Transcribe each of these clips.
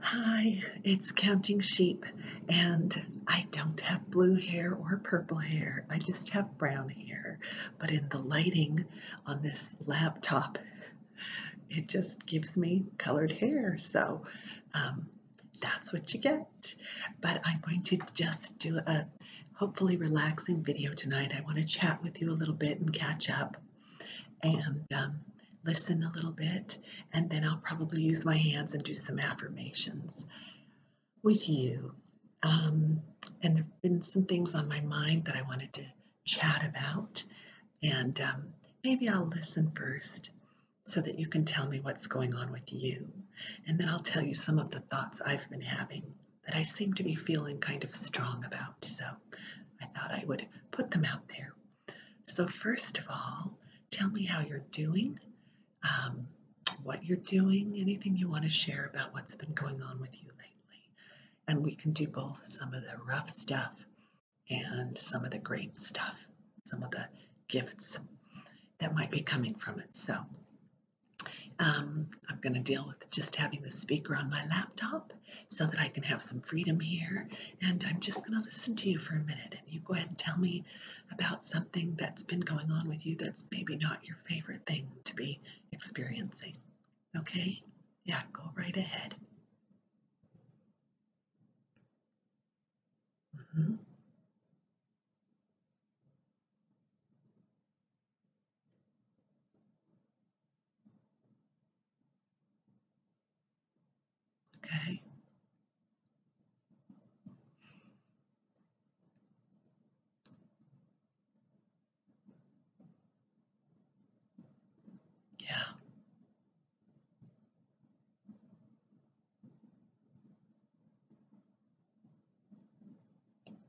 Hi, it's Counting Sheep, and I don't have blue hair or purple hair. I just have brown hair. But in the lighting on this laptop, it just gives me colored hair. So um, that's what you get. But I'm going to just do a hopefully relaxing video tonight. I want to chat with you a little bit and catch up and um, listen a little bit, and then I'll probably use my hands and do some affirmations with you. Um, and there have been some things on my mind that I wanted to chat about, and um, maybe I'll listen first so that you can tell me what's going on with you. And then I'll tell you some of the thoughts I've been having that I seem to be feeling kind of strong about. So I thought I would put them out there. So, first of all, tell me how you're doing, um, what you're doing, anything you want to share about what's been going on with you lately. And we can do both some of the rough stuff and some of the great stuff, some of the gifts that might be coming from it. So, um, I'm going to deal with just having the speaker on my laptop so that I can have some freedom here. And I'm just going to listen to you for a minute. And you go ahead and tell me about something that's been going on with you that's maybe not your favorite thing to be experiencing. Okay? Yeah, go right ahead. Mm-hmm. Okay. Yeah.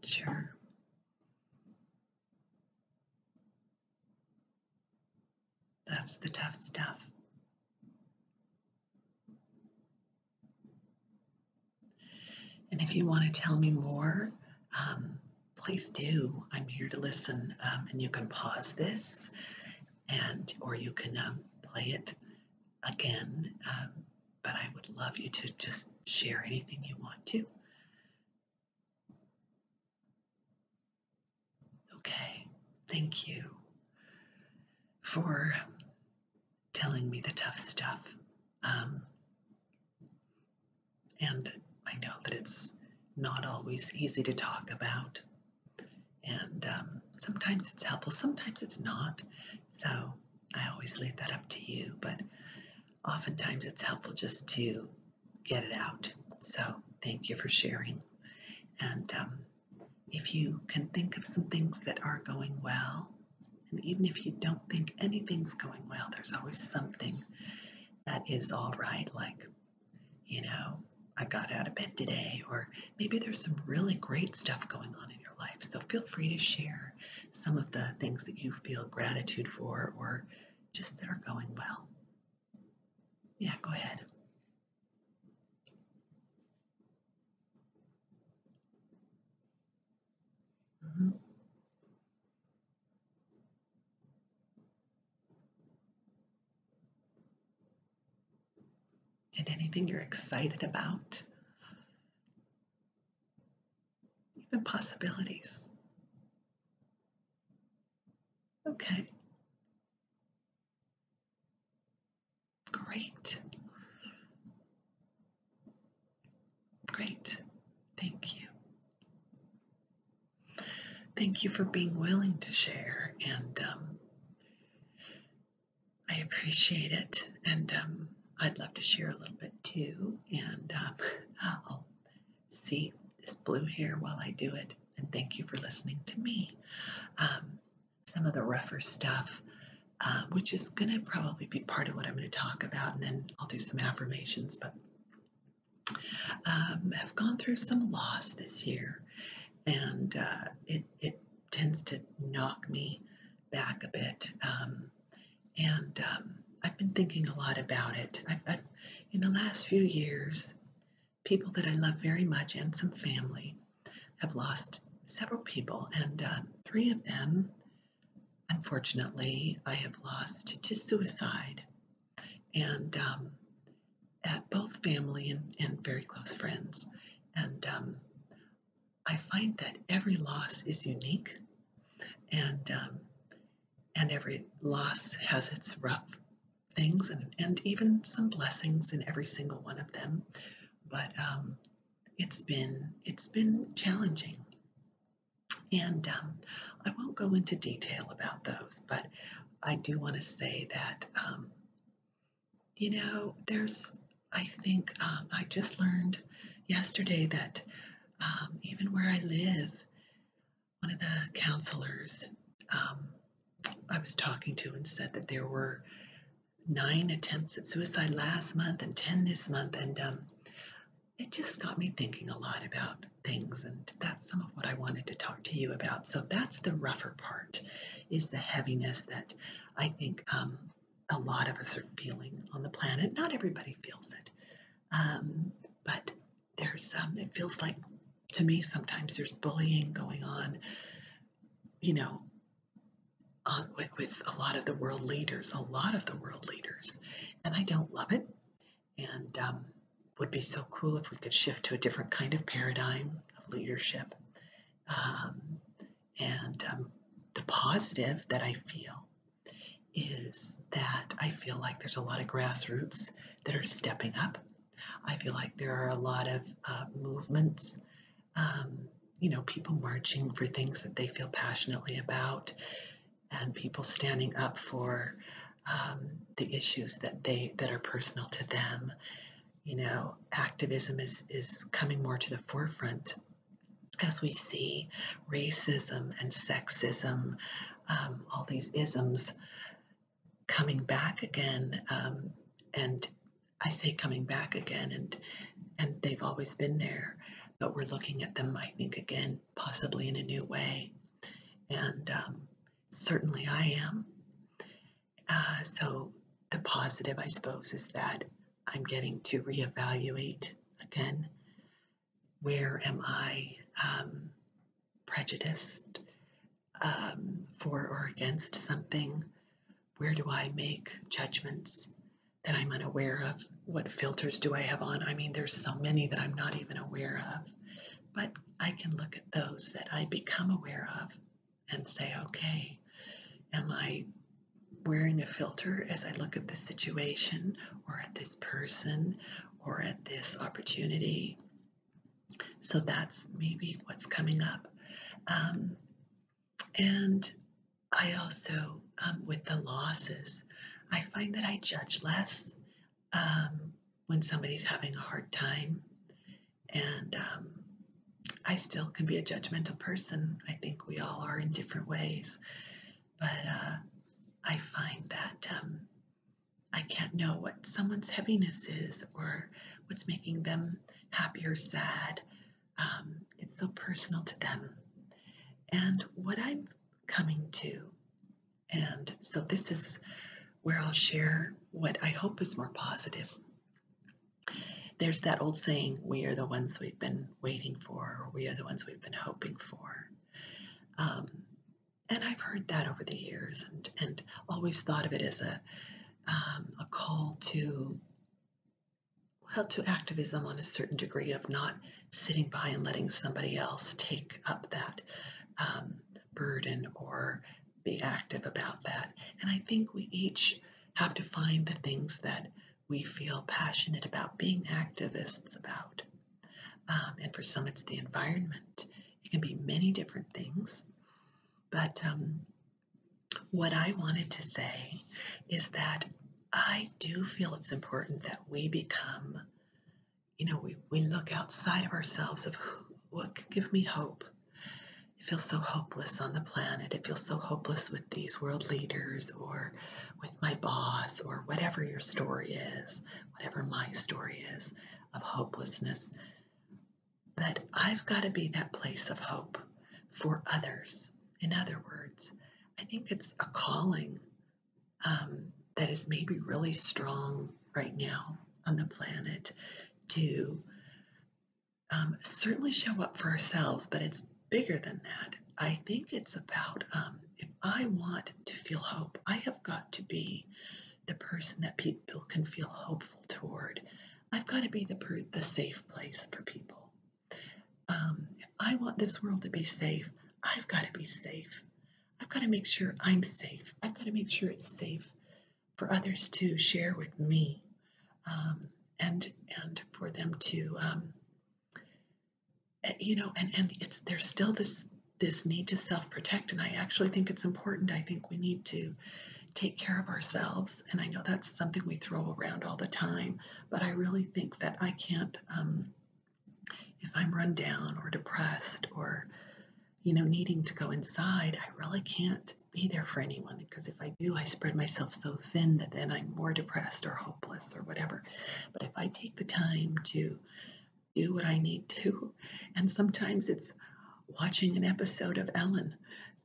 Sure. That's the tough stuff. And if you want to tell me more, um, please do. I'm here to listen, um, and you can pause this, and or you can um, play it again. but I would love you to just share anything you want to. Okay, thank you for telling me the tough stuff. Um, and I know that it's not always easy to talk about. And um, sometimes it's helpful, sometimes it's not. So I always leave that up to you. But oftentimes it's helpful just to get it out. So thank you for sharing. And um, if you can think of some things that are going well, and even if you don't think anything's going well, there's always something that is all right, like, you know, I got out of bed today, or maybe there's some really great stuff going on in your life. So feel free to share some of the things that you feel gratitude for or just that are going well. Yeah, go ahead. Mm-hmm. And anything you're excited about, even possibilities. Okay. Great. Great. Thank you. Thank you for being willing to share, and um, I appreciate it. And um, I'd love to share a little bit too, and um, I'll see this blue hair while I do it. And thank you for listening to me. Um, some of the rougher stuff, uh, which is going to probably be part of what I'm going to talk about, and then I'll do some affirmations. But i um, have gone through some loss this year, and uh, it it tends to knock me back a bit. Um, and I've been thinking a lot about it. In the last few years, people that I love very much and some family have lost several people, and uh, three of them, unfortunately, I have lost to suicide. And um, at both family and, very close friends. And um, I find that every loss is unique. And um, and every loss has its rough things and, and even some blessings in every single one of them but um, it's been it's been challenging and um, i won't go into detail about those but i do want to say that um, you know there's i think i just learned yesterday that even where i live one of the counselors um, I was talking to and said that there were nine attempts at suicide last month and 10 this month. And um, it just got me thinking a lot about things. And that's some of what I wanted to talk to you about. So that's the rougher part is the heaviness that I think um, a lot of us are feeling on the planet. Not everybody feels it. but there's um, it feels like to me sometimes there's bullying going on you know on, with, with a lot of the world leaders a lot of the world leaders and i don't love it and um, would be so cool if we could shift to a different kind of paradigm of leadership um, and um, the positive that i feel is that I feel like there's a lot of grassroots that are stepping up. I feel like there are a lot of uh, movements, um, you know, people marching for things that they feel passionately about, and people standing up for um, the issues that they that are personal to them. You know, activism is is coming more to the forefront as we see racism and sexism um, all these isms coming back again. Um, and I say coming back again, and and they've always been there, but we're looking at them, I think, again, possibly in a new way. And um, certainly I am. Uh, so the positive, I suppose, is that I'm getting to reevaluate again where am I um, prejudiced um, for or against something? Where do I make judgments that I'm unaware of? What filters do I have on? I mean, there's so many that I'm not even aware of, but I can look at those that I become aware of and say, okay, am I wearing a filter as I look at this situation or at this person or at this opportunity. So that's maybe what's coming up. Um, and I also, um, with the losses, I find that I judge less um, when somebody's having a hard time. And I still can be a judgmental person. I think we all are in different ways. But uh, I find that I can't know what someone's heaviness is or what's making them happy or sad. Um, it's so personal to them. And what I'm coming to, and so this is where I'll share what I hope is more positive. There's that old saying, we are the ones we've been waiting for, or we are the ones we've been hoping for. Um, and I've heard that over the years, and and always thought of it as a um, a call to well to activism on a certain degree of not sitting by and letting somebody else take up that um, burden or be active about that. And I think we each have to find the things that we feel passionate about being activists about. Um, and for some, it's the environment. It can be many different things. But um, what I wanted to say is that I do feel it's important that we become, you know, we, we look outside of ourselves of who, what can give me hope. It feels so hopeless on the planet. It feels so hopeless with these world leaders or with my boss or whatever your story is, whatever my story is of hopelessness, but I've got to be that place of hope for others. In other words, I think it's a calling um, that is maybe really strong right now on the planet to um, certainly show up for ourselves, but it's bigger than that. I think it's about um, if I want to feel hope, I have got to be the person that people can feel hopeful toward. I've got to be the, the safe place for people. Um, if I want this world to be safe, I've got to be safe. I've got to make sure I'm safe. I've got to make sure it's safe for others to share with me, um, and and for them to um, you know, and and it's there's still this this need to self-protect, and I actually think it's important. I think we need to take care of ourselves, and I know that's something we throw around all the time, but I really think that I can't. Um, if I'm run down or depressed or you know needing to go inside, I really can't be there for anyone because if I do, I spread myself so thin that then I'm more depressed or hopeless or whatever. But if I take the time to do what I need to. And sometimes it's watching an episode of Ellen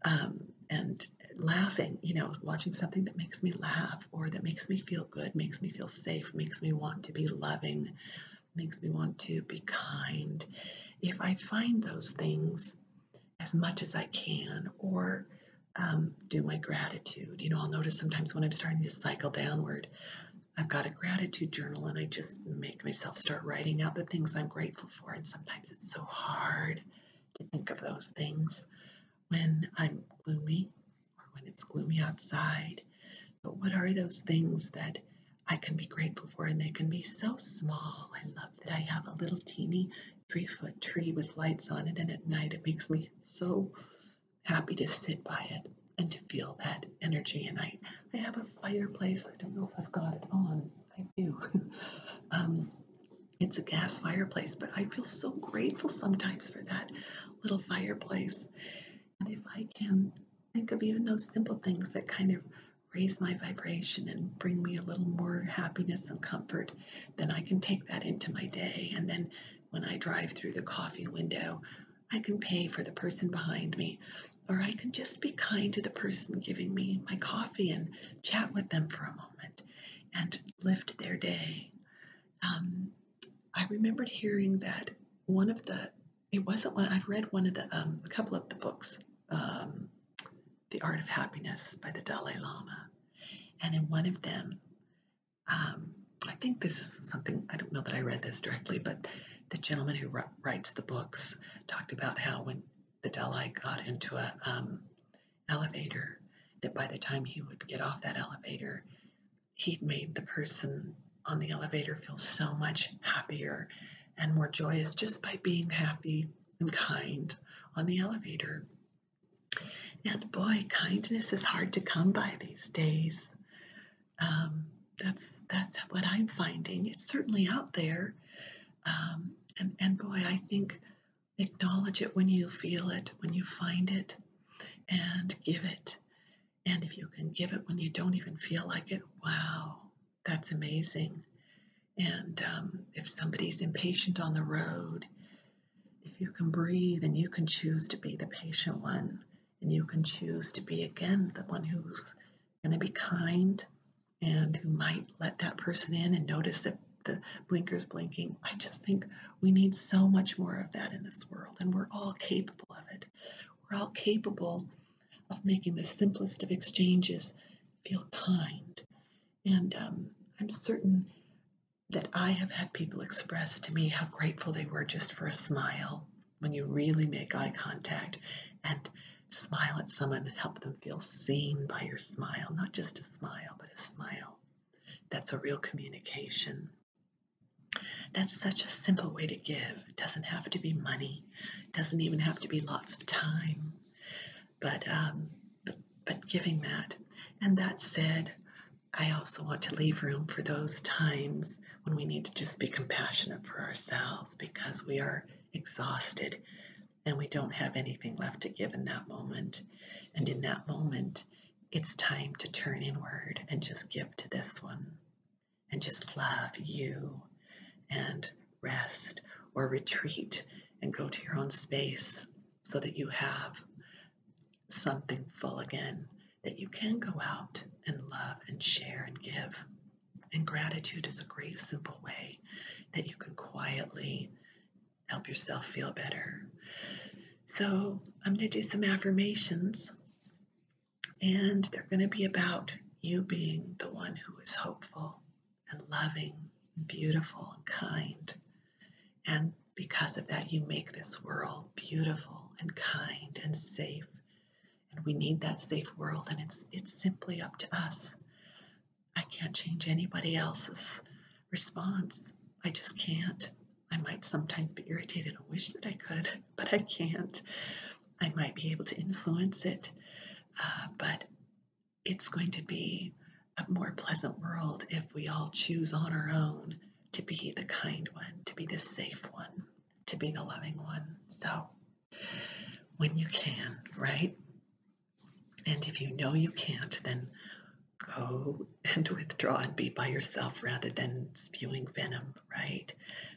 um, and laughing, you know, watching something that makes me laugh or that makes me feel good, makes me feel safe, makes me want to be loving, makes me want to be kind. If I find those things as much as I can, or um, do my gratitude. You know, I'll notice sometimes when I'm starting to cycle downward, I've got a gratitude journal and I just make myself start writing out the things I'm grateful for. And sometimes it's so hard to think of those things when I'm gloomy or when it's gloomy outside. But what are those things that I can be grateful for? And they can be so small. I love that I have a little teeny three foot tree with lights on it, and at night it makes me so happy to sit by it and to feel that energy. And I, I have a fireplace. I don't know if I've got it on. I do. um, it's a gas fireplace, but I feel so grateful sometimes for that little fireplace. And if I can think of even those simple things that kind of raise my vibration and bring me a little more happiness and comfort, then I can take that into my day and then when I drive through the coffee window. I can pay for the person behind me, or I can just be kind to the person giving me my coffee and chat with them for a moment and lift their day. Um, I remembered hearing that one of the, it wasn't one, I've read one of the, um, a couple of the books, um, The Art of Happiness by the Dalai Lama. And in one of them, um, I think this is something, I don't know that I read this directly, but the gentleman who writes the books talked about how when the Dalai got into an um, elevator, that by the time he would get off that elevator, he'd made the person on the elevator feel so much happier and more joyous just by being happy and kind on the elevator. And boy, kindness is hard to come by these days. Um, that's that's what I'm finding. It's certainly out there, um, and and boy, I think acknowledge it when you feel it, when you find it, and give it. And if you can give it when you don't even feel like it, wow, that's amazing. And um, if somebody's impatient on the road, if you can breathe and you can choose to be the patient one, and you can choose to be again the one who's going to be kind and who might let that person in and notice that the blinkers blinking. I just think we need so much more of that in this world, and we're all capable of it. We're all capable of making the simplest of exchanges feel kind. And um, I'm certain that I have had people express to me how grateful they were just for a smile when you really make eye contact and smile at someone and help them feel seen by your smile, not just a smile, but a smile. That's a real communication. That's such a simple way to give. It doesn't have to be money, it doesn't even have to be lots of time, but, um, but, but giving that. And that said, I also want to leave room for those times when we need to just be compassionate for ourselves because we are exhausted and we don't have anything left to give in that moment. And in that moment, it's time to turn inward and just give to this one and just love you and rest or retreat and go to your own space so that you have something full again that you can go out and love and share and give. And gratitude is a great, simple way that you can quietly help yourself feel better. So, I'm going to do some affirmations, and they're going to be about you being the one who is hopeful and loving, and beautiful, and kind. And because of that, you make this world beautiful and kind and safe. And we need that safe world, and it's, it's simply up to us. I can't change anybody else's response. I just can't. I might sometimes be irritated I wish that I could, but I can't. I might be able to influence it, uh, but it's going to be a more pleasant world if we all choose on our own to be the kind one, to be the safe one, to be the loving one. So, when you can, right? And if you know you can't, then go and withdraw and be by yourself rather than spewing venom, right?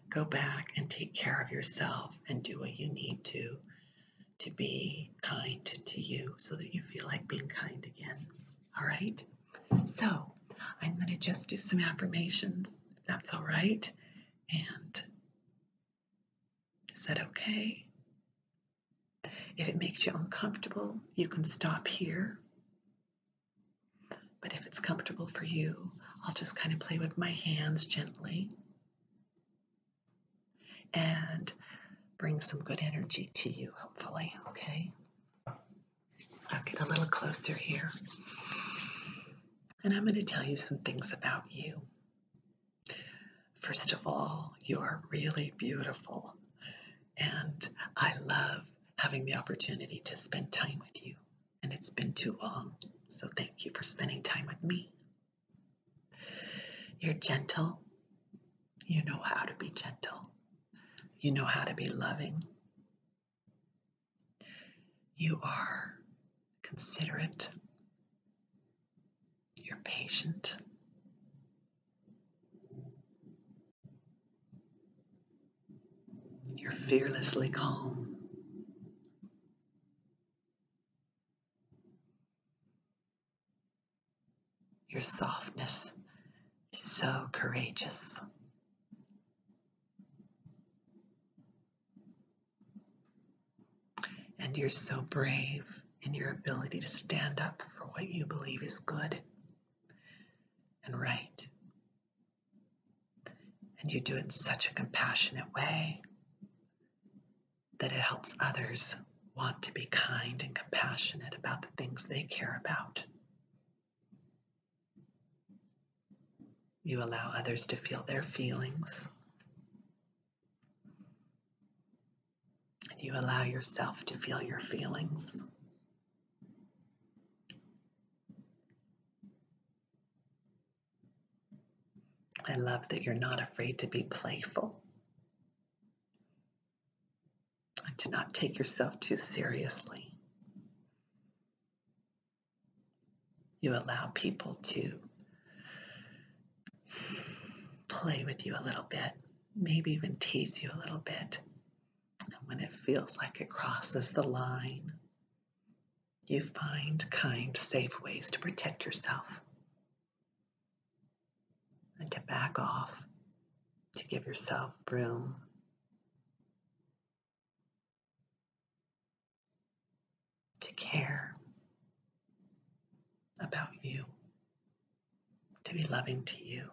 Go back and take care of yourself and do what you need to to be kind to you so that you feel like being kind again. All right. So I'm going to just do some affirmations. If that's all right. And is that okay? If it makes you uncomfortable, you can stop here. But if it's comfortable for you, I'll just kind of play with my hands gently and bring some good energy to you, hopefully, okay? I'll get a little closer here. And I'm going to tell you some things about you. First of all, you're really beautiful. And I love having the opportunity to spend time with you. And it's been too long, so thank you for spending time with me. You're gentle you know how to be gentle. You know how to be loving. You are considerate. You're patient. You're fearlessly calm. Your softness is so courageous. And you're so brave in your ability to stand up for what you believe is good and right. And you do it in such a compassionate way that it helps others want to be kind and compassionate about the things they care about. You allow others to feel their feelings. you allow yourself to feel your feelings. I love that you're not afraid to be playful to not take yourself too seriously. You allow people to play with you a little bit, maybe even tease you a little bit. And when it feels like it crosses the line, you find kind, safe ways to protect yourself and to back off, to give yourself room. To care about you, to be loving to you.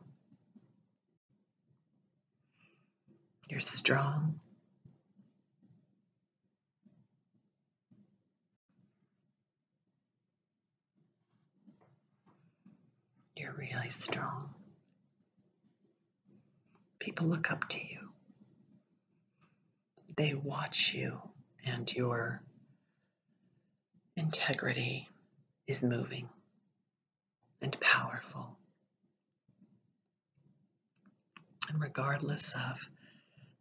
You're strong. You're really strong. People look up to you, they watch you, and your integrity is moving and powerful. And regardless of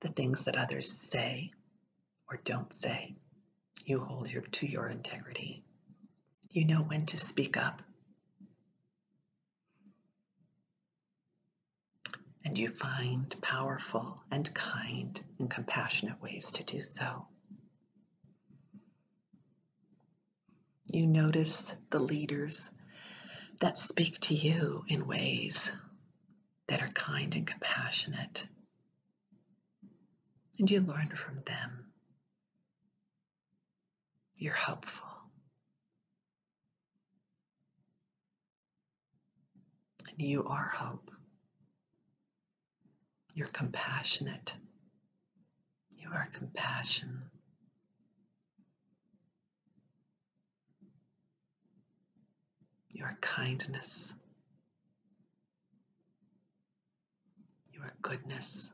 the things that others say or don't say, you hold to your integrity. You know when to speak up. And you find powerful and kind and compassionate ways to do so. You notice the leaders that speak to you in ways that are kind and compassionate and you learn from them. You're helpful. And you are hope. You're compassionate. You are compassion. You are kindness your goodness.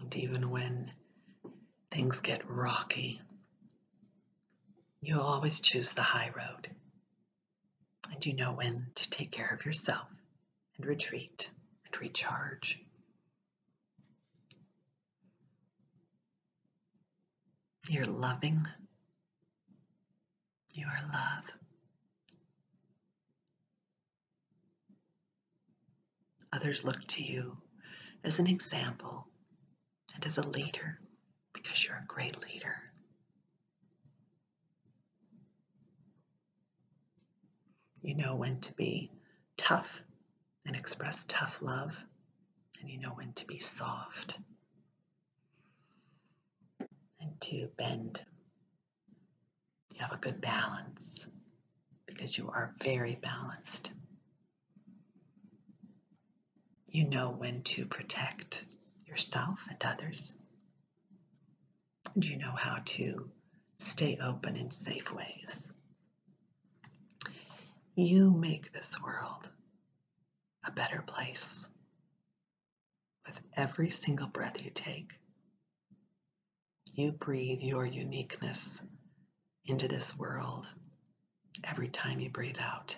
And even when things get rocky, you always choose the high road. And you know when to take care of yourself and retreat and recharge. You're loving. You are love. Others look to you as an example and as a leader because you're a great leader. You know when to be tough and express tough love, and you know when to be soft and to bend. You have a good balance because you are very balanced. You know when to protect yourself and others, and you know how to stay open in safe ways you make this world a better place with every single breath you take. You breathe your uniqueness into this world every time you breathe out.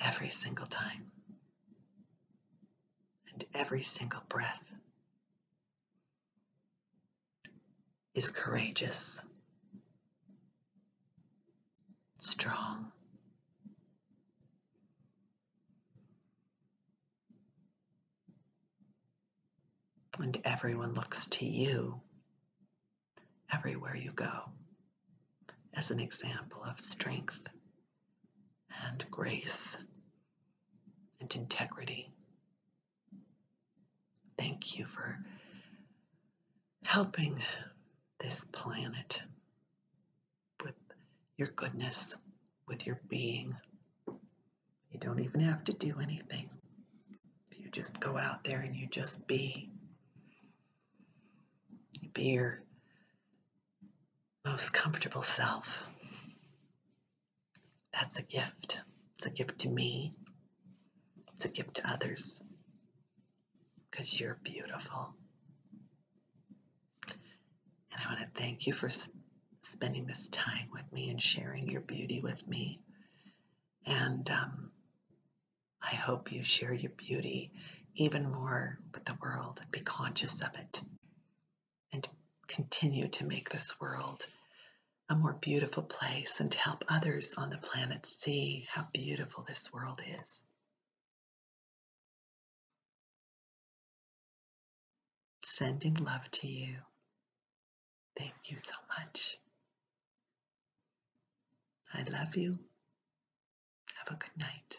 Every single time and every single breath is courageous, strong. And everyone looks to you everywhere you go as an example of strength and grace and integrity. Thank you for helping this planet with your goodness, with your being. You don't even have to do anything. You just go out there and you just be. You be your most comfortable self. That's a gift. It's a gift to me, it's a gift to others because you're beautiful. And I want to thank you for spending this time with me and sharing your beauty with me. And um, I hope you share your beauty even more with the world. Be conscious of it and continue to make this world a more beautiful place and to help others on the planet see how beautiful this world is. Sending love to you. Thank you so much. I love you. Have a good night.